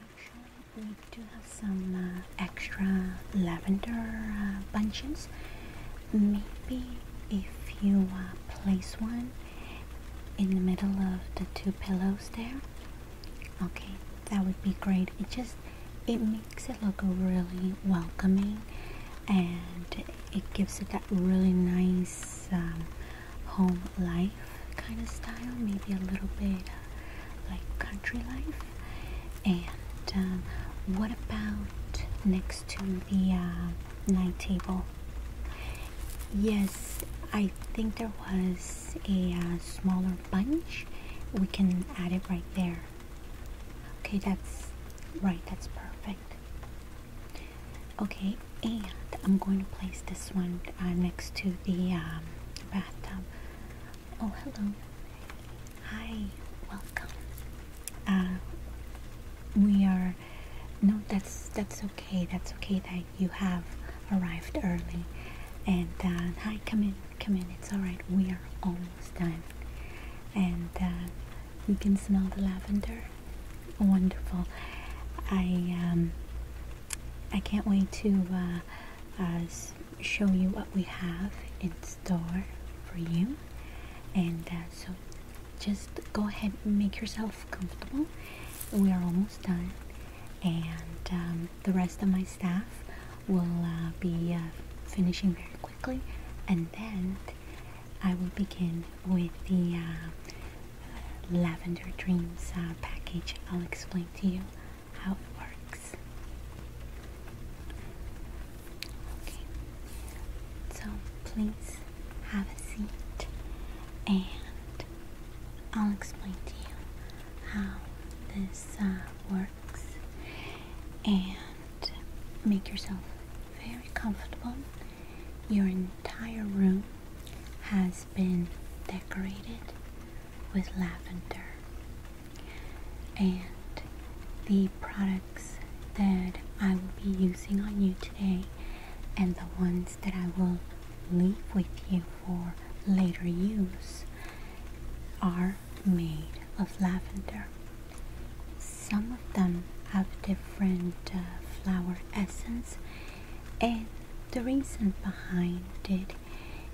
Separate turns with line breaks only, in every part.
Actually, we do have some uh, extra lavender uh, bunches. Maybe if you uh, place one in the middle of the two pillows there, okay, that would be great. It just it makes it look really welcoming and it gives it that really nice um, home life kind of style maybe a little bit uh, like country life and um, what about next to the um, night table yes I think there was a uh, smaller bunch we can add it right there okay that's right that's perfect okay and I'm going to place this one uh, next to the um, bathtub oh hello hi welcome uh, we are no that's that's okay that's okay that you have arrived early and uh, hi come in come in it's all right we are almost done and uh, you can smell the lavender wonderful I um, I can't wait to uh, uh, show you what we have in store for you and so just go ahead and make yourself comfortable we are almost done and um, the rest of my staff will be finishing very quickly, and then I will begin with the uh, Lavender Dreams uh, package. I'll explain to you how it works. Okay, so please have a seat and I'll explain to you how this uh, works. And make yourself very comfortable. Your entire room has been decorated with lavender, and the products that I will be using on you today and the ones that I will leave with you for later use are made of lavender. Some of them have different uh, flower essence and the reason behind it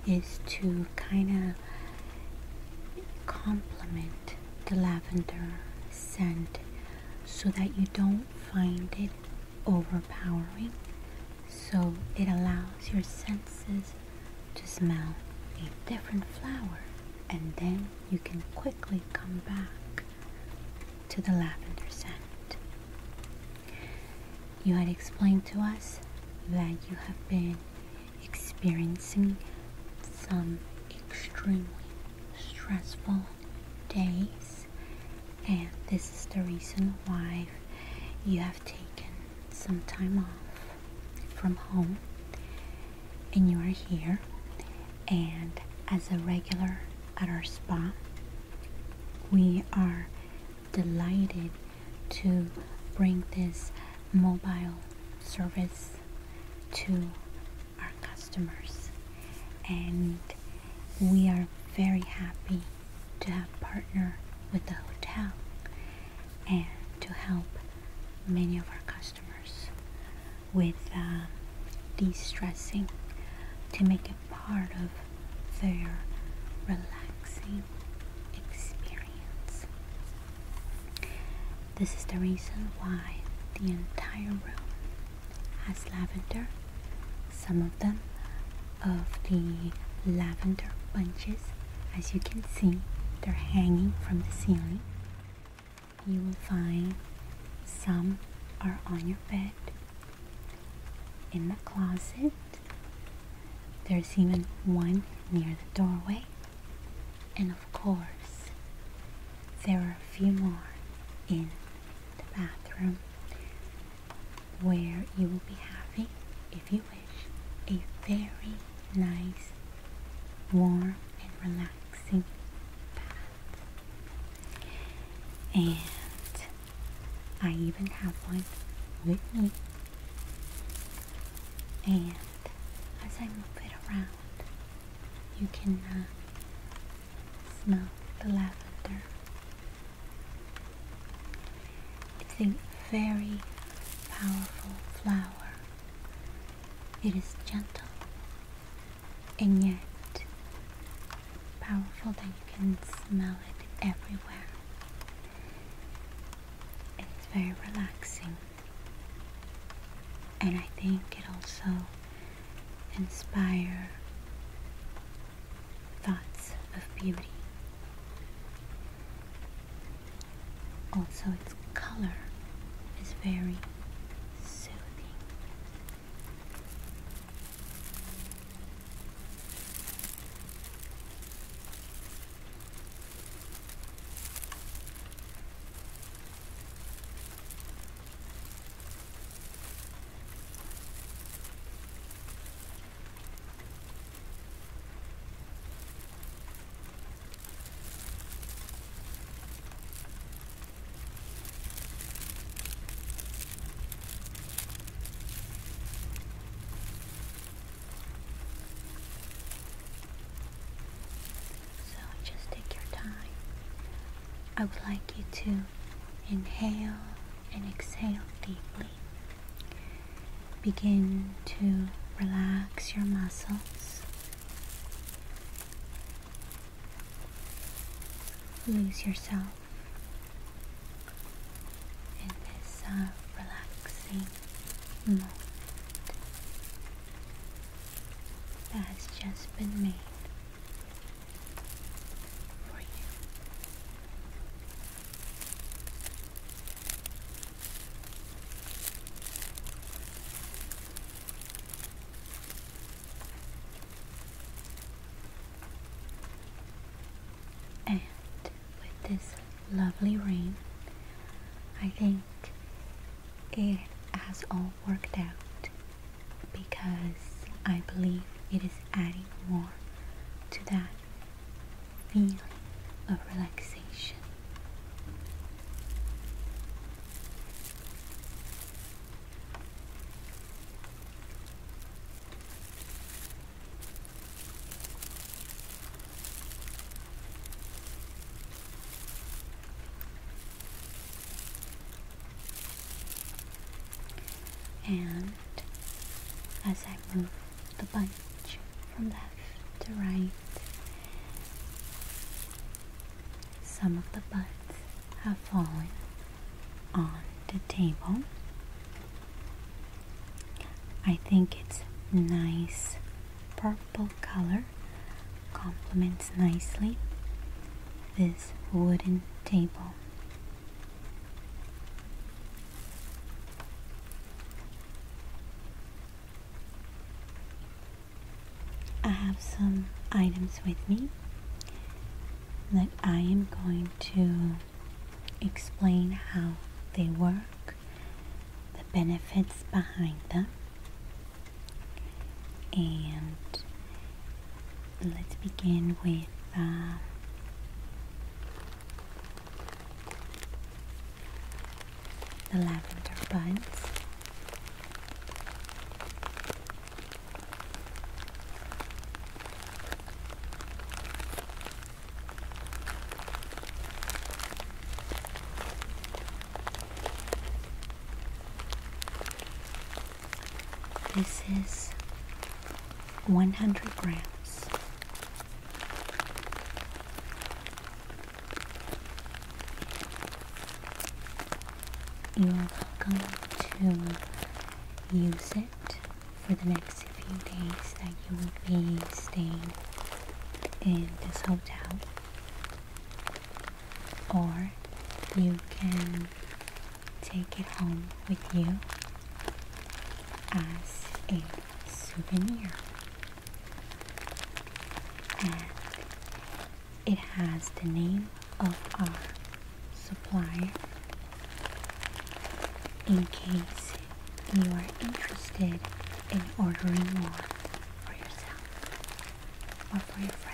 is to kind of complement the lavender scent so that you don't find it overpowering so it allows your senses to smell a different flower and then you can quickly come back to the lavender scent. You had explained to us that you have been experiencing some extremely stressful days and this is the reason why you have taken some time off from home and you are here and as a regular at our spa we are delighted to bring this mobile service to our customers and we are very happy to have partnered with the hotel and to help many of our customers with um, de-stressing to make it part of their relaxing experience. This is the reason why the entire room has lavender. Some of them of the lavender bunches as you can see, they're hanging from the ceiling. You will find some are on your bed, in the closet. There's even one near the doorway. And of course, there are a few more in the bathroom where you will be happy if you a very nice, warm, and relaxing bath. And I even have one with me. And as I move it around, you can uh, smell the lavender. It's a very powerful flower. It is gentle and yet powerful that you can smell it everywhere. It's very relaxing. And I think it also inspire thoughts of beauty. Also its color is very soothing. So just take your time. I would like you to inhale and exhale deeply. Begin to relax your muscles. Lose yourself in this uh, relaxing moment that has just been made. for you. And with this lovely rain, I think it has all worked out because I believe it is adding more to that feeling of relaxation. And as I move the body from left to right. Some of the buds have fallen on the table. I think it's nice purple color complements nicely this wooden table. I have some items with me that I am going to explain how they work, the benefits behind them, and let's begin with uh, the lavender buns. This is 100 grams you are welcome to use it for the next few days that you will be staying in this hotel. Or you can take it home with you as a souvenir. And it has the name of our supplier in case you are interested in ordering one for yourself or for your friends.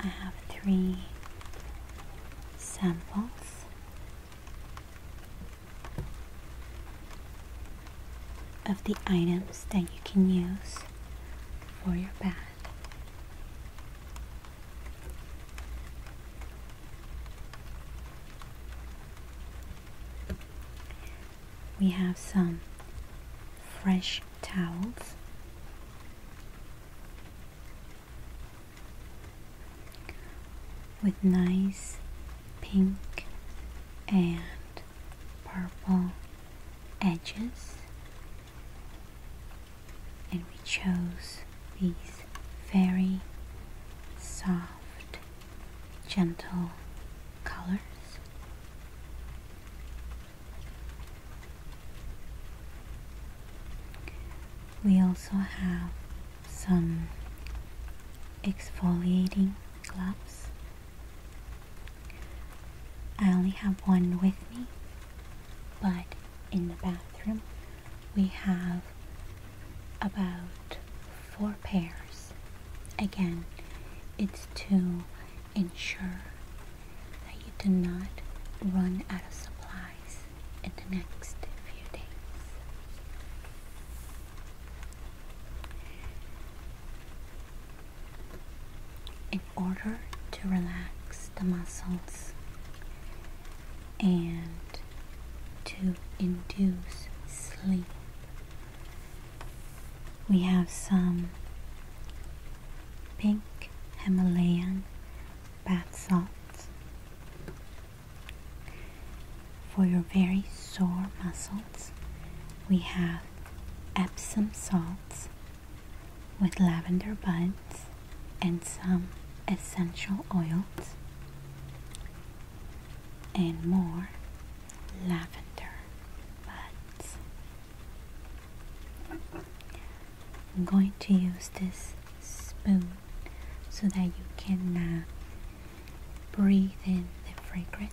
I have three samples. Of the items that you can use for your bath. We have some fresh towels. with nice pink and purple edges and we chose these very soft, gentle colors. We also have some exfoliating gloves. I only have one with me, but in the bathroom we have about four pairs. Again, it's to ensure that you do not run out of supplies in the next few days. In order to relax the muscles and to induce sleep. We have some pink Himalayan bath salts for your very sore muscles. We have Epsom salts with lavender buds and some essential oils and more lavender buds. I'm going to use this spoon so that you can uh, breathe in the fragrance.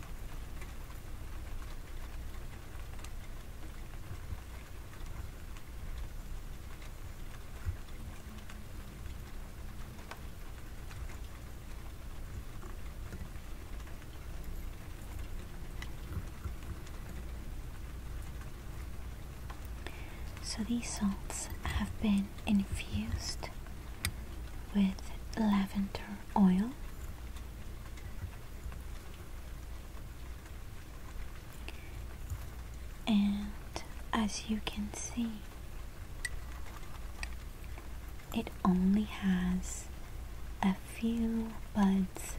So these salts have been infused with lavender oil and as you can see it only has a few buds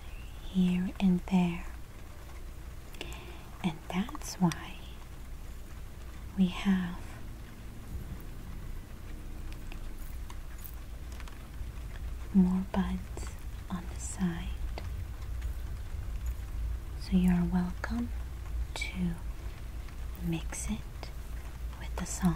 here and there and that's why we have more buds on the side. So you are welcome to mix it with the salt.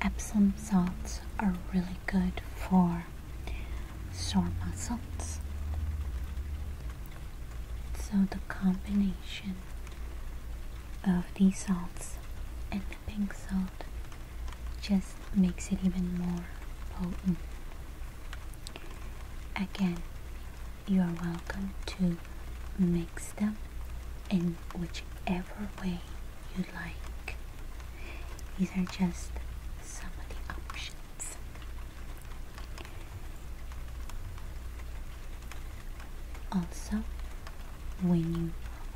Epsom salts are really good for sore muscles. So the combination of these salts and the pink salt just makes it even more potent. Again, you are welcome to mix them in whichever way you like. These are just some of the options. Also, when you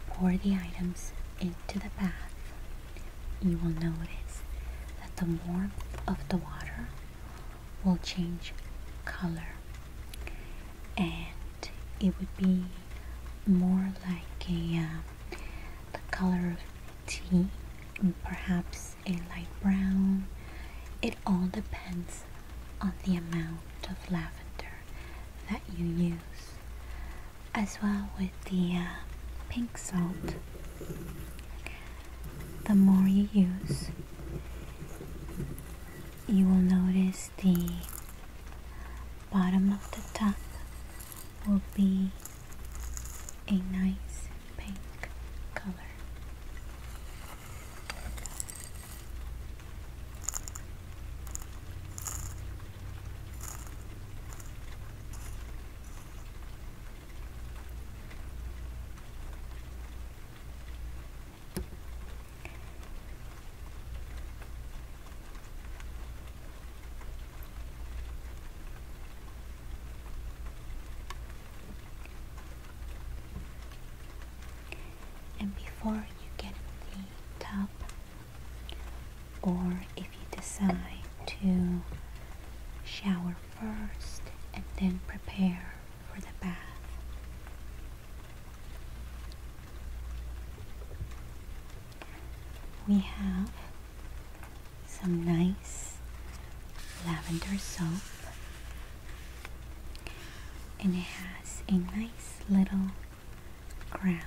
pour the items into the bath, you will notice that the warmth of the water will change color and it would be more like a um, the color of tea perhaps a light brown it all depends on the amount of lavender that you use as well with the uh, pink salt the more you use you will notice the bottom of the top will be a nice pink color. And before you get the top, or if you decide to shower first and then prepare for the bath, we have some nice lavender soap and it has a nice little crown.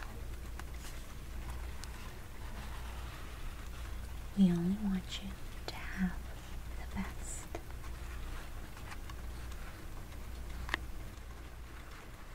We only want you to have the best.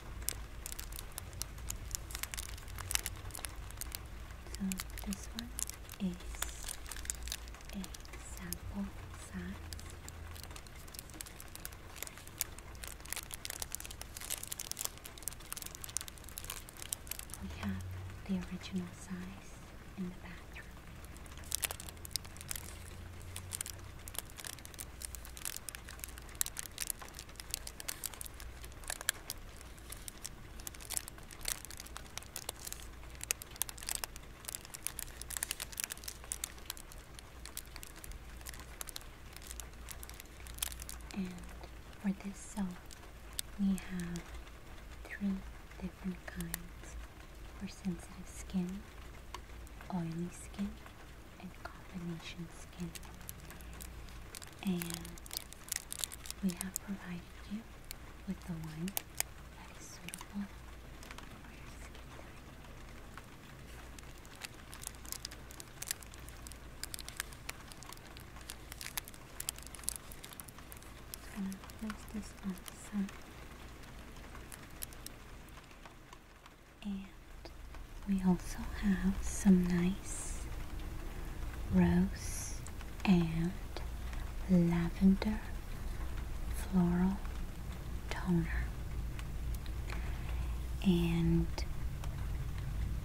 So this one is a sample size. We have the original size in the bathroom. And for this soap, we have three different kinds for sensitive skin, oily skin, and combination skin. And we have provided you with the one that is suitable for your skin type. I'm going to place this on and we also have some nice rose and lavender floral toner. And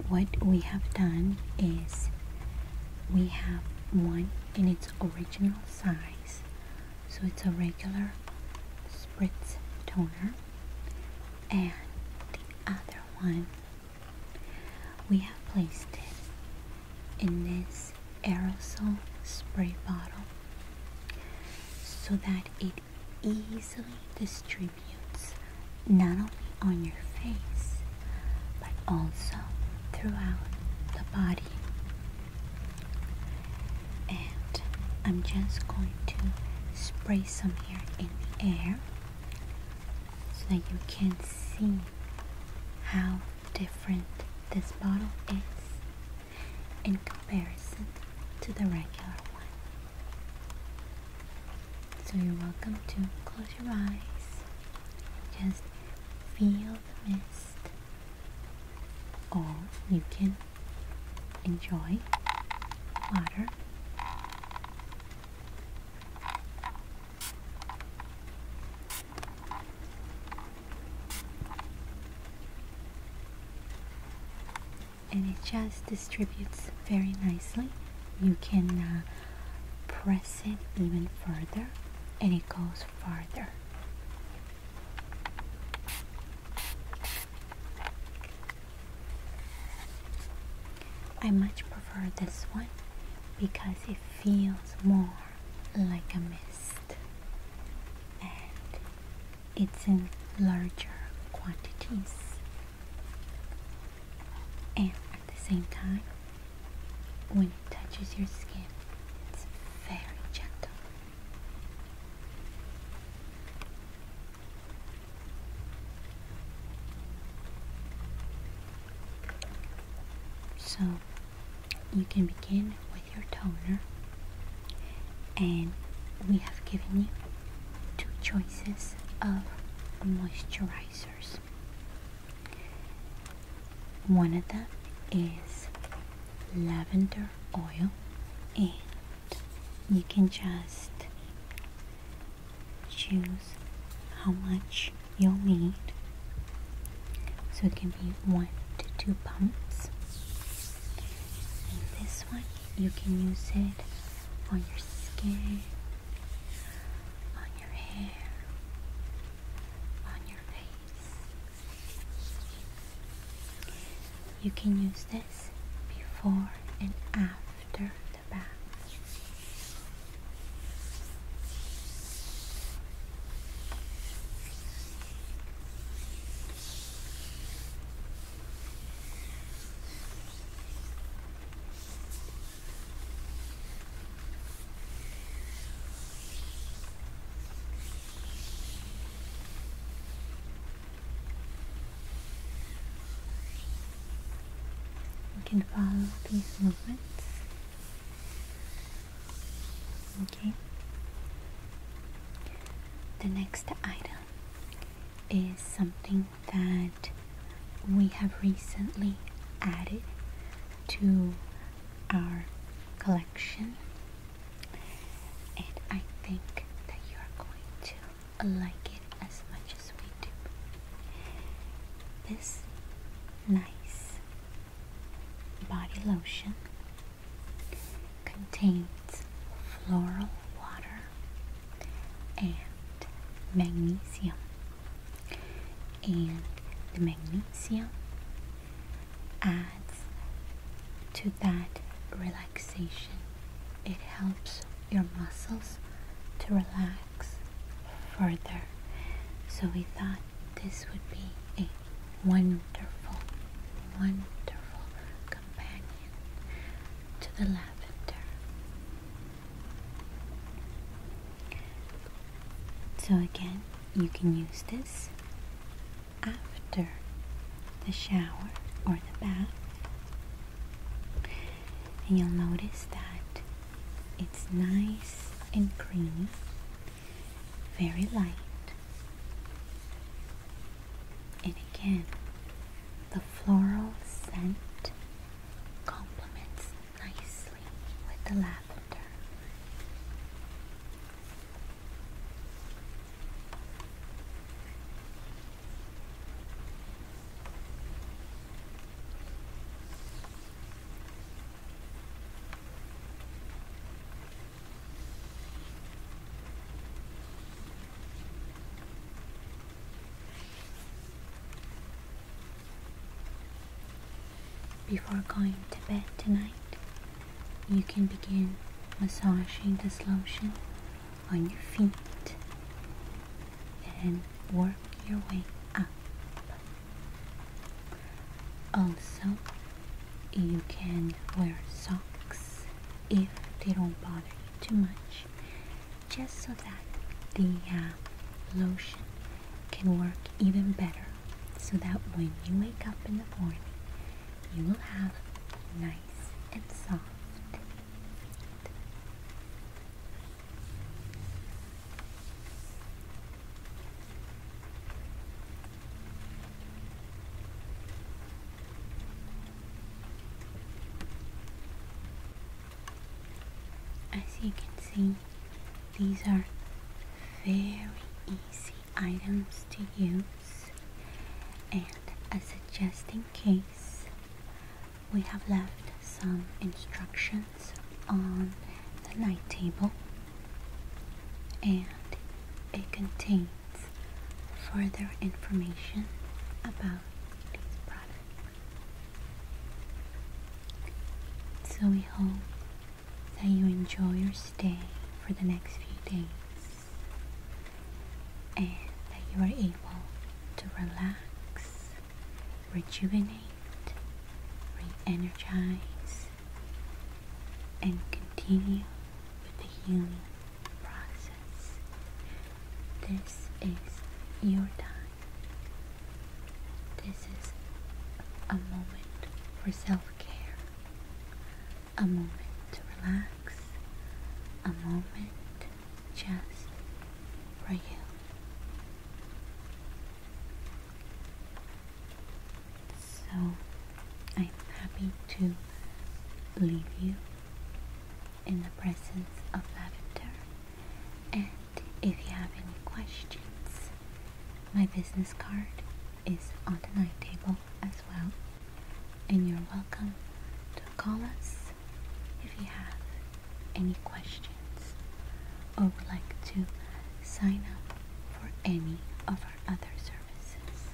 what we have done is we have one in its original size so it's a regular spritz toner and the other one we have placed it in this aerosol spray bottle so that it easily distributes not only on your face but also throughout the body and I'm just going to spray some here in the air so that you can see how different this bottle is in comparison to the regular one. So you're welcome to close your eyes, just feel the mist, or you can enjoy water. And it just distributes very nicely. You can uh, press it even further and it goes farther. I much prefer this one because it feels more like a mist and it's in larger quantities and at the same time when it touches your skin it's very gentle so you can begin with your toner and we have given you two choices of moisturizers. One of them is lavender oil and you can just choose how much you'll need. So it can be one to two pumps. And this one, you can use it on your skin, on your hair, on your face, you can use this before and after the bath. We can follow these movements. Okay. The next item is something that we have recently added to our collection and I think that you're going to like it as much as we do. This nice body lotion contains floral water and magnesium, and the magnesium adds to that relaxation. It helps your muscles to relax further. So we thought this would be a wonderful, wonderful companion to the lavender. So again, you can use this after the shower or the bath. And you'll notice that it's nice and creamy, very light. And again, the floral scent complements nicely with the lavender. Before going to bed tonight, you can begin massaging this lotion on your feet and work your way up. Also, you can wear socks if they don't bother you too much, just so that the uh, lotion can work even better so that when you wake up in the morning you will have nice and soft. As you can see, these are very easy items to use and as a just in case we have left some instructions on the night table and it contains further information about these products. so we hope that you enjoy your stay for the next few days and that you are able to relax, rejuvenate, re energize, and continue with the healing process. This is your time. This is a moment for self care, a moment to relax, a moment just for you. So I'm happy to leave you in the presence of lavender. And if you have any questions, my business card is on the night table as well. And you're welcome to call us if you have any questions or would like to sign up for any of our other services.